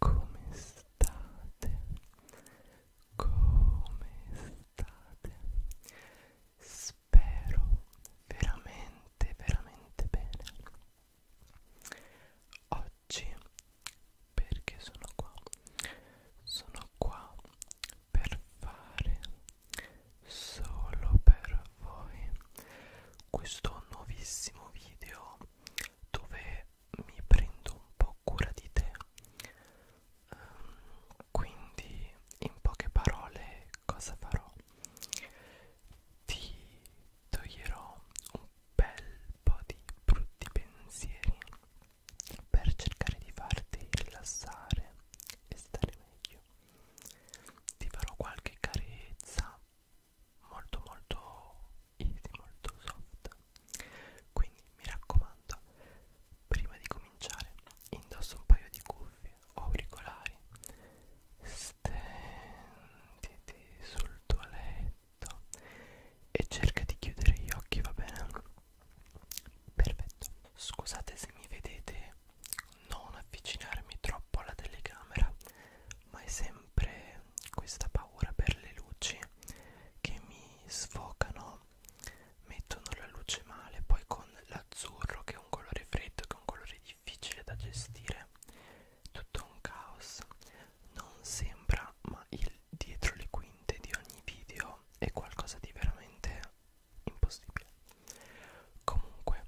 Come state? Come state? Spero veramente, veramente bene. Oggi perché sono qua? Sono qua per fare solo per voi questo nuovissimo video dove mi prendo un po' cura di te um, quindi in poche parole cosa farò ti toglierò un bel po' di brutti pensieri per cercare di farti rilassare e stare meglio ti farò qualche carezza molto molto easy, molto soft quindi mi raccomando prima di cominciare indosso un paio di cuffie o auricolari stenditi sul tuo letto e cerca di chiudere gli occhi va bene perfetto scusate se mi vedete non avvicinarmi troppo alla telecamera ma è sempre questa paura per le luci che mi sfocano mettono la luce male poi con l'azzurro che è un colore freddo che è un colore difficile da gestire tutto un caos non sembra ma il dietro le quinte di ogni video è qualcosa di veramente impossibile comunque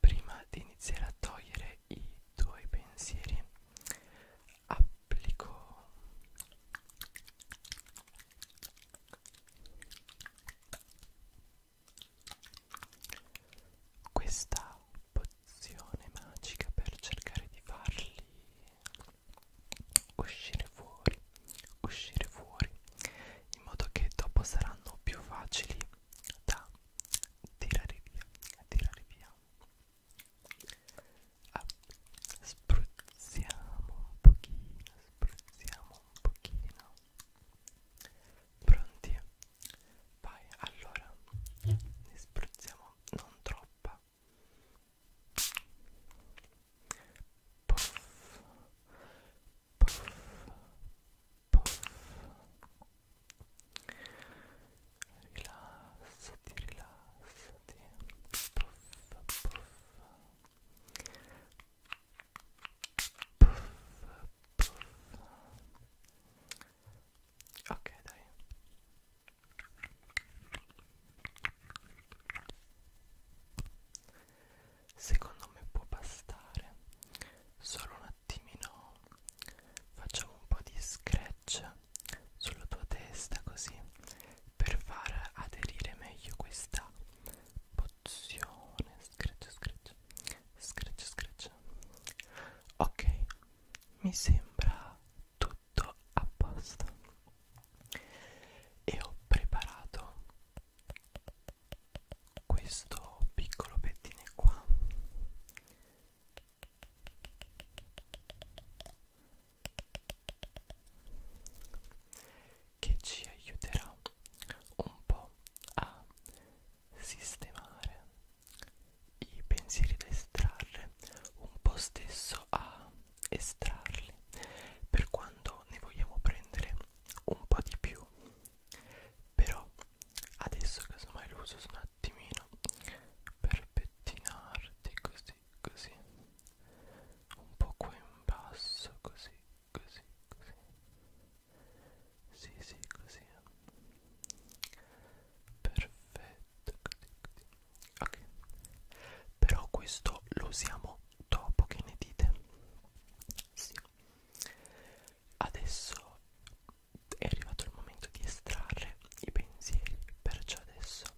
prima di iniziare a togliere i tuoi pensieri applico questa pozione magica per cercare di farli uscire fuori uscire fuori in modo che dopo saranno più facili da tirare via tirare via Ah, spruzziamo un pochino, spruzziamo un pochino. Pronti? Vai, allora ne spruzziamo non troppa. Puff, puff, puff rilassati, rilassati, puff, puff, puff, puff. Ok, dai. Secondo me può bastare. Solo un attimino facciamo un po' di scratch sulla tua testa così per far aderire meglio questa pozione scratch scratch scratch scratch ok mi sembra tutto a posto e ho preparato questo piccolo pettine qua che ci aiuterà un po' a sistemare i pensieri da estrarre, un po' stesso a estrarli per quando ne vogliamo prendere un po' di più però adesso casomai lo uso attimino per pettinarti così così un po' qua in basso così così così sì sì così perfetto così così ok però questo lo usiamo dopo che ne dite sì adesso è arrivato il momento di estrarre i pensieri perciò adesso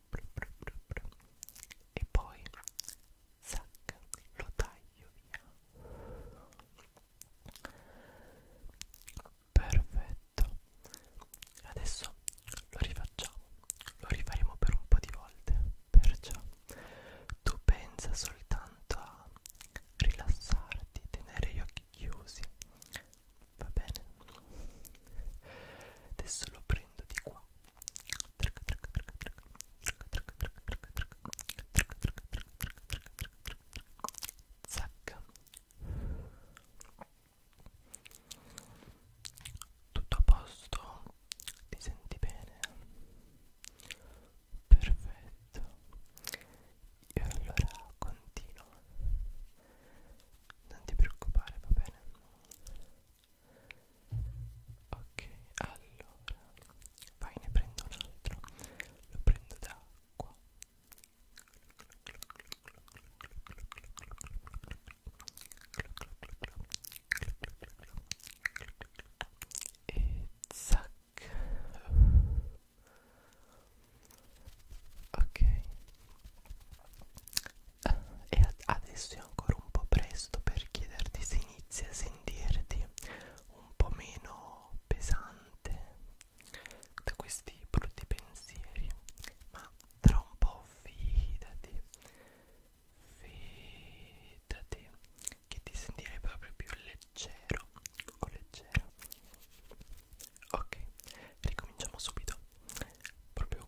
e poi zac, lo taglio via perfetto adesso lo rifacciamo lo rifaremo per un po' di volte perciò tu pensa soltanto a rilassarti tenere gli occhi chiusi va bene adesso lo prendo di qua Zac. tutto a posto ti senti bene perfetto e allora continuo non ti preoccupare va bene ok allora vai ne prendo un altro lo prendo da qua e zac ok eh, e adesso è ancora un po' presto per chiederti se inizi a sentirti un po' meno pesante da questi brutti pensieri ma tra un po' fidati fidati che ti sentirai proprio più leggero o leggero ok ricominciamo subito proprio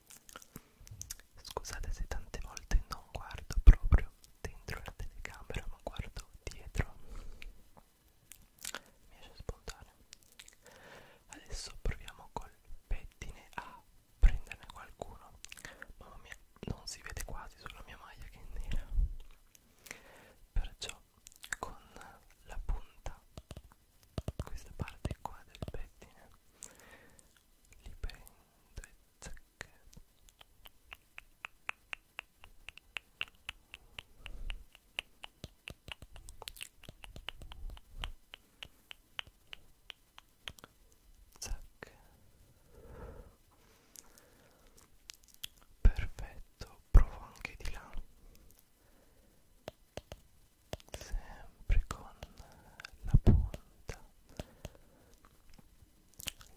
Scusate se tante volte non guardo proprio dentro la telecamera, ma guardo dietro. Mi esce spontaneo. Adesso proviamo col pettine a prenderne qualcuno. Mamma mia, non si vede quasi sulla mia maglia che è nera. Perciò con la punta questa parte qua del pettine li prendo e zac zac perfetto provo anche di là sempre con la punta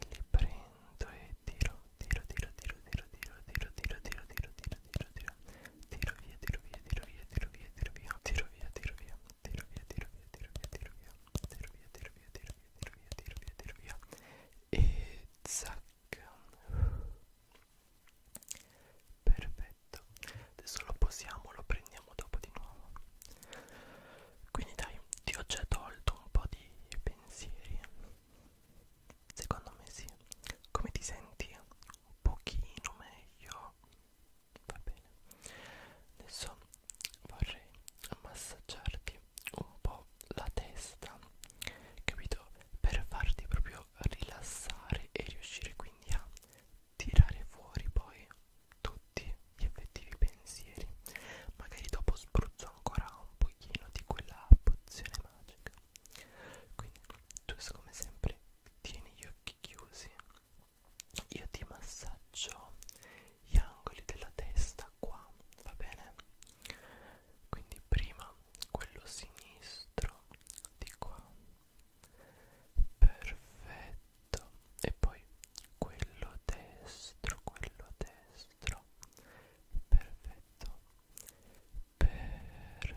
li prendo e tiro tiro tiro tiro tiro tiro tiro tiro tiro tiro tiro tiro tiro tiro via tiro via tiro via tiro via tiro via tiro via tiro via tiro via tiro via tiro via tiro via tiro via tiro via tiro via tiro via tiro via e zac perfetto perfetto adesso lo posiamo lo prendiamo dopo di nuovo quindi dai ti ho già tolto un po' di pensieri secondo me sì come ti senti un pochino meglio va bene adesso vorrei massaggiarti un po' la testa capito per farti proprio rilassare e riuscire quindi a tirare fuori poi tutti gli effettivi pensieri magari dopo spruzzo ancora un pochino di quella pozione magica quindi tu come sempre tieni gli occhi chiusi io ti massaggio gli angoli della testa qua va bene quindi prima quello sinistro di qua perfetto e poi quello destro quello destro perfetto perfetto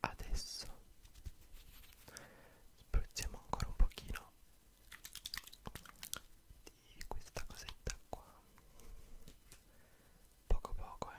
adesso spruzziamo ancora un pochino di questa cosetta qua poco poco eh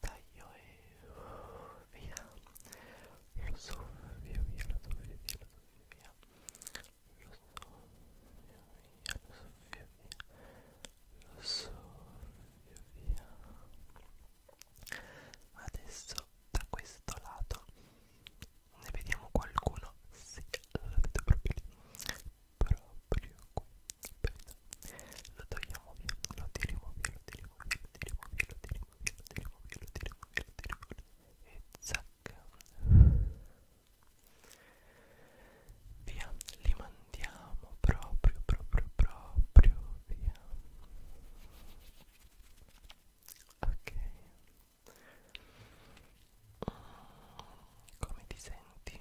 taglio e via lo soffio via lo soffio via lo soffio via lo soffio via lo soffio via lo soffio via adesso da questo lato ne vediamo qualcuno sì lo vedo proprio lì proprio qui bene lo togliamo via lo tiriamo via lo tiriamo via lo tiriamo via lo tiriamo via lo tiriamo via lo tiriamo via lo tiriamo via e zac via li mandiamo proprio proprio proprio via ok mm, come ti senti?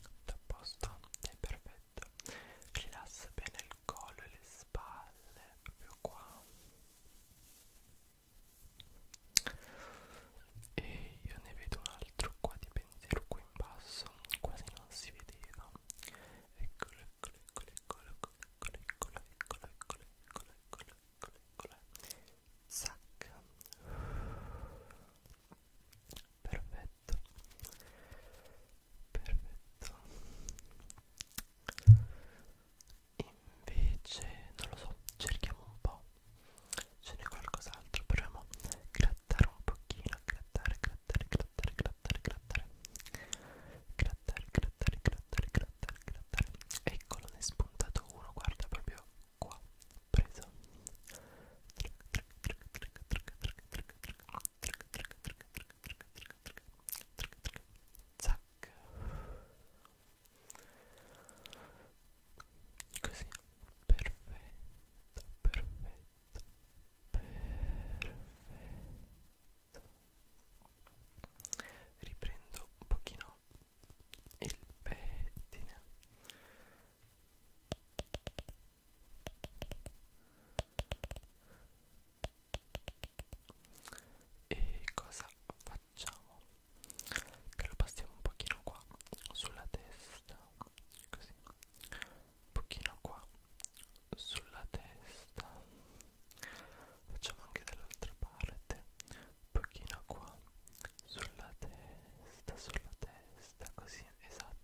Tutto a posto? Sei perfetto? petto rilassa bene il collo e le spalle proprio qua e io ne vedo un altro qua di pensiero qui in basso quasi non si vedeva eccolo eccolo eccolo eccolo eccolo eccolo eccolo eccolo eccolo eccolo eccolo eccolo eccolo zac perfetto perfetto invece non lo so cerchiamo un po' ce n'è qualcos'altro proviamo a grattare un pochino grattare grattare grattare grattare grattare grattare grattare grattare grattare grattare eccolo ne è spuntato uno guarda proprio qua preso zac così perfetto perfetto perfetto riprendo un pochino il pettine e cosa facciamo? Che lo passiamo un pochino qua sulla testa, così un pochino qua sulla testa, facciamo anche dall'altra parte, un pochino qua sulla testa, sulla testa, così esatto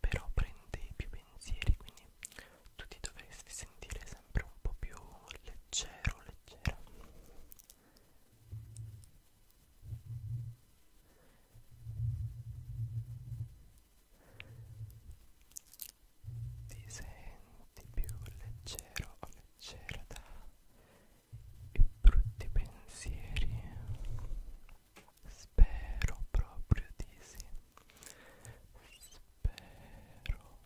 però prende più pensieri quindi tu ti dovresti sentire sempre un po' più leggero leggera ti senti più leggero o leggera da i brutti pensieri Spero proprio di sì. Spero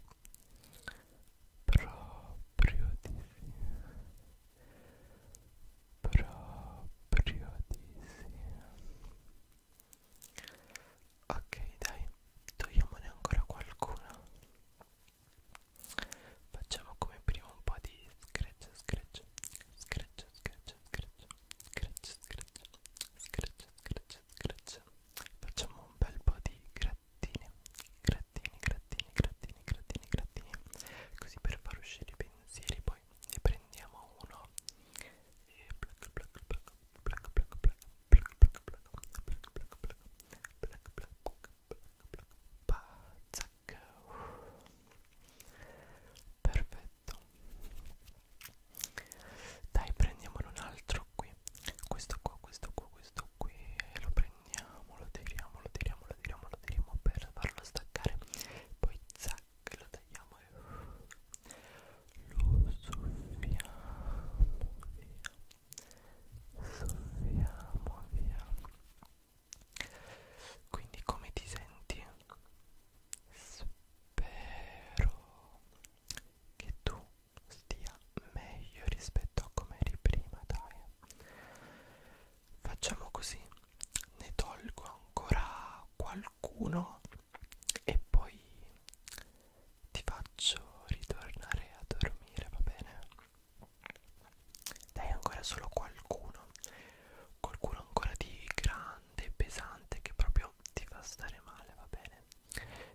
proprio di sì. Proprio di sì. Ok, dai, togliamone ancora qualcuno. Facciamo come prima un po' di scratch, scratch, scratch, scratch, scratch scratch, scratch, scratch, scratch, scratch. Facciamo un bel po' di grattini, grattini, grattini, grattini, grattini, grattini. Così per far uscire i pensieri, poi ne prendiamo uno e plac, plac, plac, plac, plac, plac, plac, plac, plac, plac, plac. Black, black, black, black, black. Perfetto, perfetto dai prendiamone un altro qui questo qua questo qua questo qui e lo prendiamo lo tiriamo lo tiriamo lo tiriamo lo tiriamo per farlo staccare poi zac lo tagliamo e lo soffiamo via soffiamo via quindi come ti senti? Spero che tu stia meglio rispetto a come eri prima, dai. Facciamo così, ne tolgo ancora qualcuno e poi ti faccio ritornare a dormire, va bene? Dai, ancora solo qualcuno. Qualcuno ancora di grande pesante pesante che proprio ti fa stare male va bene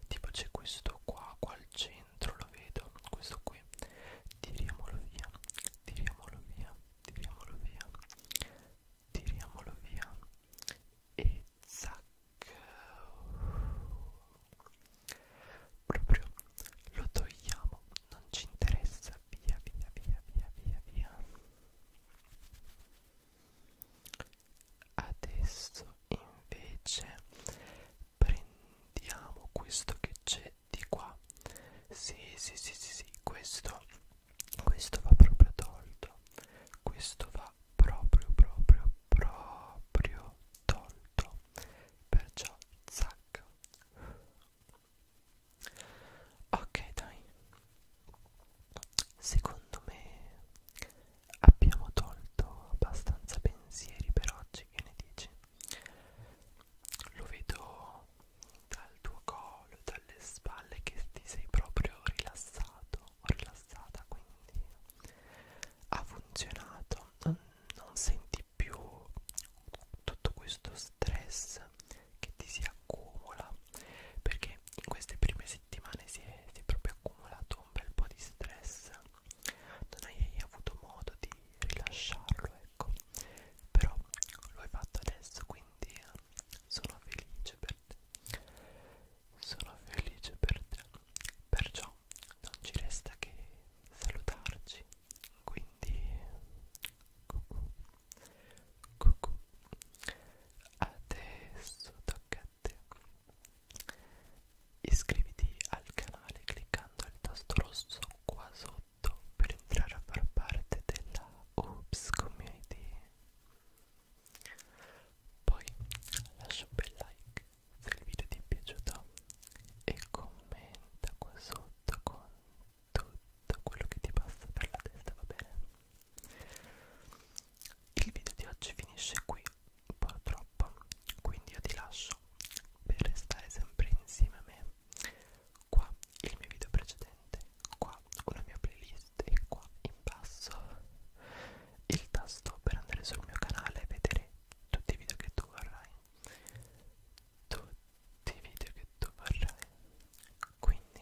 tipo c'è questo qua qua al centro lo vedo questo qui tiriamolo via tiriamolo via tiriamolo via tiriamolo via e zac proprio lo togliamo non ci interessa via via via via via via adesso invece prendiamo questo che c'è di qua sì, sì sì sì sì questo questo va proprio tolto questo va proprio proprio proprio tolto perciò zac ok dai secondo me abbiamo tolto abbastanza pensieri per oggi che ne dici lo vedo dal tuo collo dalle spalle che ti sei proprio rilassato o rilassata quindi ha funzionato non senti più tutto questo stress che ti si accumula perché in queste prime settimane si è, si è proprio accumulato un bel po' di stress non hai avuto modo di rilasciarlo ecco però lo hai fatto adesso quindi sono felice per te sono felice per te perciò non ci resta che salutarci quindi Cucù. Adesso tocca a te. Iscriviti al canale cliccando il tasto rosso qua sotto per entrare a far parte della Oops Community. Poi lascia un bel like se il video ti è piaciuto e commenta qua sotto con tutto quello che ti passa per la testa, va bene? Il video di oggi finisce qui, purtroppo, quindi io ti lascio per restare sempre insieme a me. Qua il mio video precedente, qua una mia playlist e qua in basso il tasto per andare sul mio canale e vedere tutti i video che tu vorrai. Tutti i video che tu vorrai. Quindi